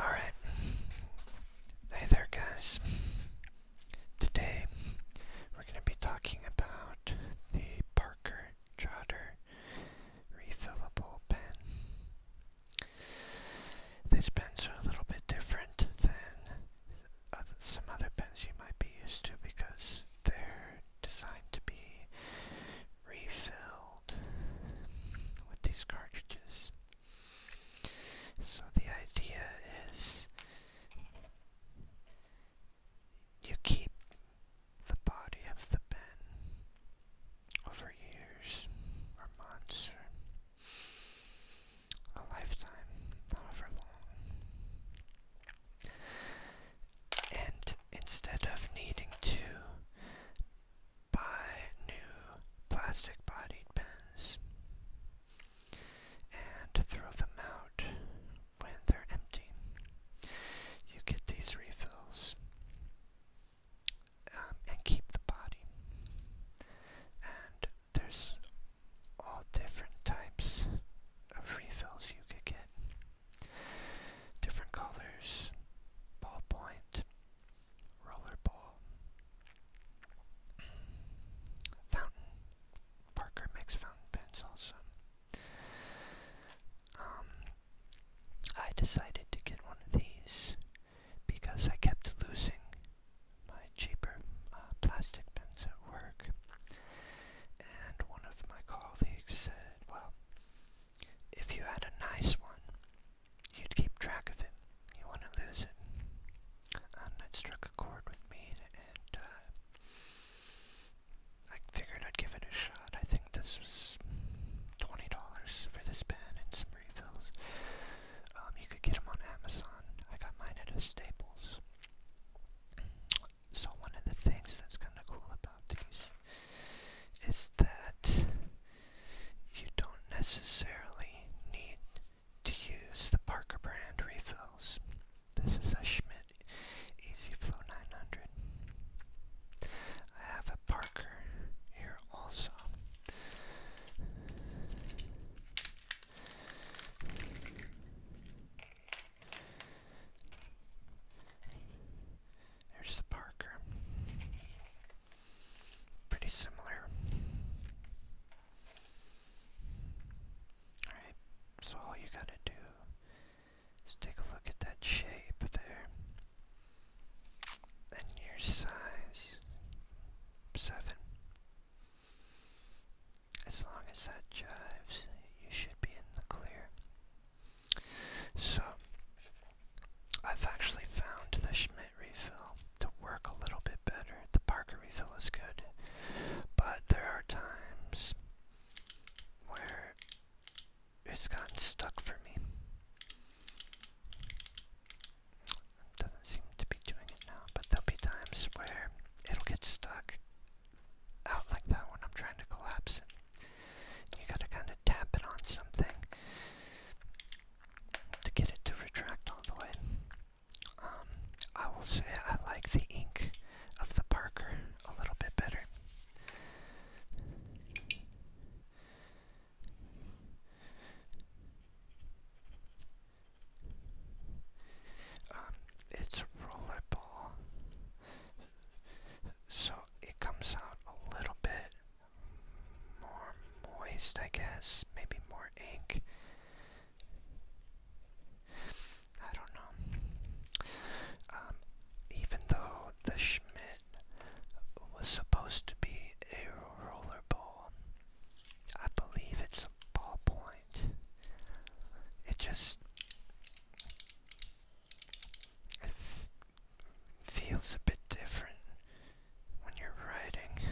Alright. Hey there, guys. Today we're going to be talking about the Parker Trotter refillable pen. These pens are a little bit different than some other pens you might be used to because they're designed to be refilled with these cartridges. So the idea is you keep the body of the pen over years or months or a lifetime, however long. And instead of needing to buy new plastic bodied pens and throw them out when they're empty. You get these refills um, and keep the body. And there's all different types of refills you could get. Different colors, ballpoint, rollerball, fountain. Parker makes fountain pens also. Um, I decided to get one of these because I kept losing my cheaper uh, plastic pens at work. And one of my colleagues said, well, if you had a nice one, you'd keep track of it. You wouldn't lose it. And it struck a chord with me, and uh, I figured I'd give it a shot. I think this was $20 for this pen and some refills. Um, you could get them on Amazon. I got mine at a Staples. So one of the things that's kind of cool about these is that you don't necessarily need to use the Parker brand refills. This is a Schmidt Easy Flow 900. I have a Parker here also. There's the Parker. Pretty similar. Alright, so all you gotta do is take a look at that shape there. And your size, 7. As long as that jives, you should be in the clear. So, I've actually found the Schmidt refill to work a little bit better. The Parker refill is good, but there are times where it's gotten stuck for me. Doesn't seem to be doing it now, but there'll be times where it'll get stuck out like that when I'm trying to collapse it. You gotta kind of tap it on something to get it to retract all the way. Um, I will say I like the ink of the Parker a little bit better. Um, it's a rollerball, so it comes out a little bit more moist, I guess. Maybe more ink. I don't know. Um, even though the Schmidt was supposed to be a rollerball, I believe it's a ballpoint. It just it feels a bit different when you're writing.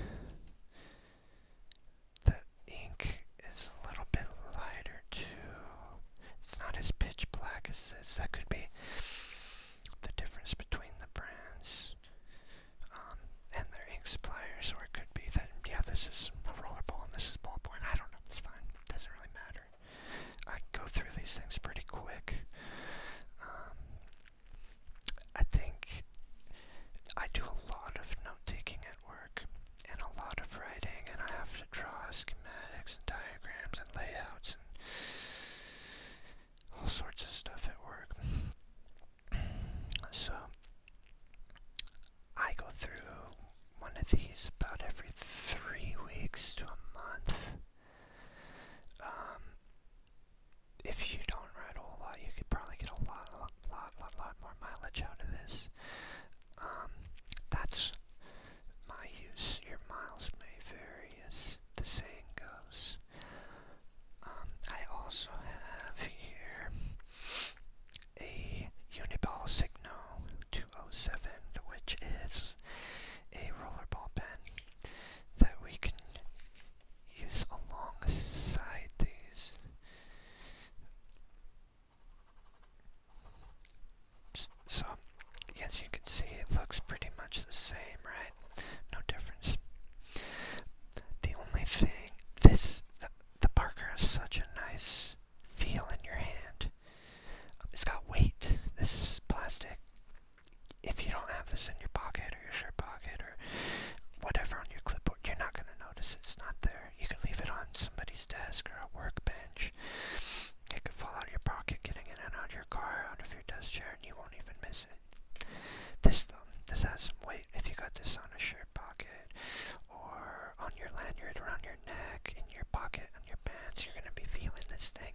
The ink is a little bit lighter too. It's not as pitch black as this. That could be the difference between the brands um, and their ink suppliers, or it could be that, yeah, this is a roller ball and this is ballpoint. I don't know. It's fine. It doesn't really matter later. I go through these things pretty quick. Um, I think I do a lot of note taking at work and a lot of writing, and I have to draw schematics and diagrams and layouts and all sorts of stuff at work. So I go through one of these about every three weeks to a month. Um, if you don't ride a lot, you could probably get a lot, lot, lot, lot, lot more mileage out of this. Um, that's my use. Your miles may vary, as the saying goes. Um, I also have here a Uniball Signo 207, which is a rollerball pen that we can use alongside these. So, as you can see, it looks pretty much the same, right? No difference. The only thing, this, the, Parker has such a nice feel in your hand. It's got weight, this plastic. If you don't have this in your pocket or your shirt pocket or whatever on your clipboard, you're not going to notice it's not there. You can leave it on somebody's desk or a workbench. It could fall out of your pocket, getting in and out of your car, out of your desk chair, and you won't even miss it. This, though, this has some weight. If you got this on a shirt pocket or on your lanyard, around your neck, in your pocket, on your pants, you're gonna be feeling this thing.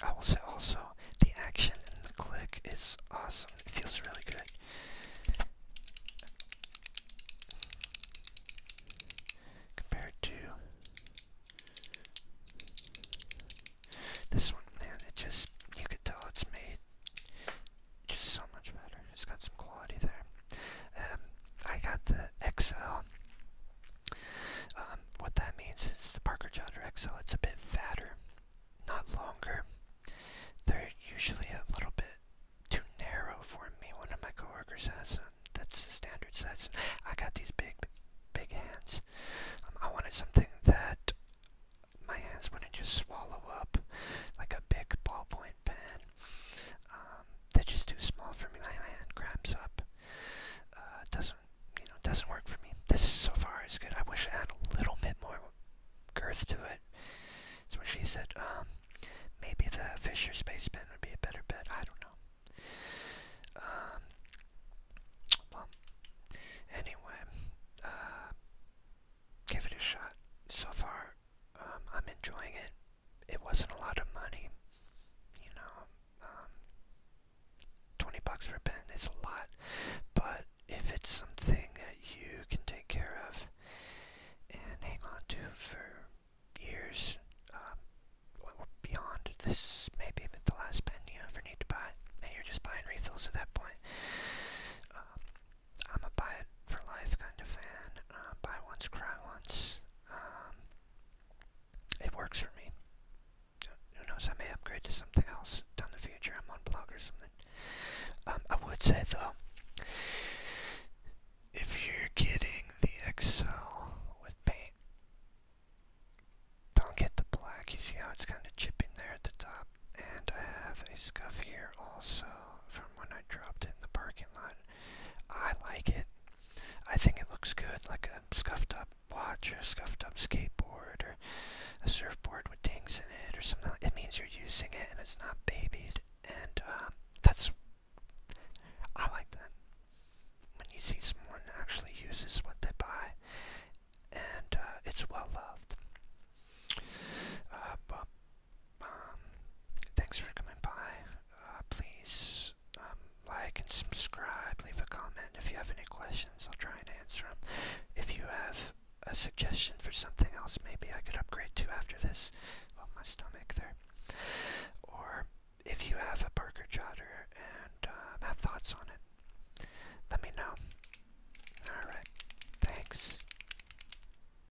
I will say also, the action and the click is awesome. It feels really good. Compared to this one, man, it just, you could tell it's made just so much better. It's got some quality there. Um, I got the XL. Um, what that means is the Parker Jodder XL. It's a bit fatter, not longer. They're usually a little bit too narrow for me. One of my coworkers has them. That's the standard size. I got these big, big hands. Um, I wanted something that my hands wouldn't just swallow up like a big ballpoint frying pan. Um, just too small for me. My hand cramps up. Uh, doesn't you know? Doesn't work for me. This so far is good. I wish I had a little bit more girth to it. So she said. Um, maybe the Fisher Space Pen would be a better bet. I don't know. Um, anyway, uh, give it a shot. So far, um, I'm enjoying it. It wasn't a lot of money, you know. Um, Twenty bucks for a pen is a lot, but if it's something that you can take care of and hang on to for years, um, beyond this, maybe even the last pen you ever need to buy, and you're just buying refills at that point. Um, I'm a buy it for life kind of fan. Uh, buy once, cry once. Um, it works for me. Who knows? I may upgrade to something else down the future. I'm on blog or something. Um, I would say though, if you're getting the XL with paint, don't get the black. You see how it's kind of chipping there at the top. And I have a scuff here also from when I dropped it in the parking lot. I like it. I think it looks good, like a scuffed up watch or a scuffed up skateboard or a surfboard with dings in it or something. It means you're using it and it's not babied, and um, that's. I like that. When you see someone actually uses what they buy, and uh, it's well loved. Uh, well, um, thanks for coming by. Uh, please um, like and subscribe. Leave a comment if you have any questions. I'll try and answer them. If you have a suggestion for something else, maybe I could upgrade to after this. Well, my stomach there. Or if you have a Parker Jotter and um, have thoughts on it, let me know. Alright, thanks.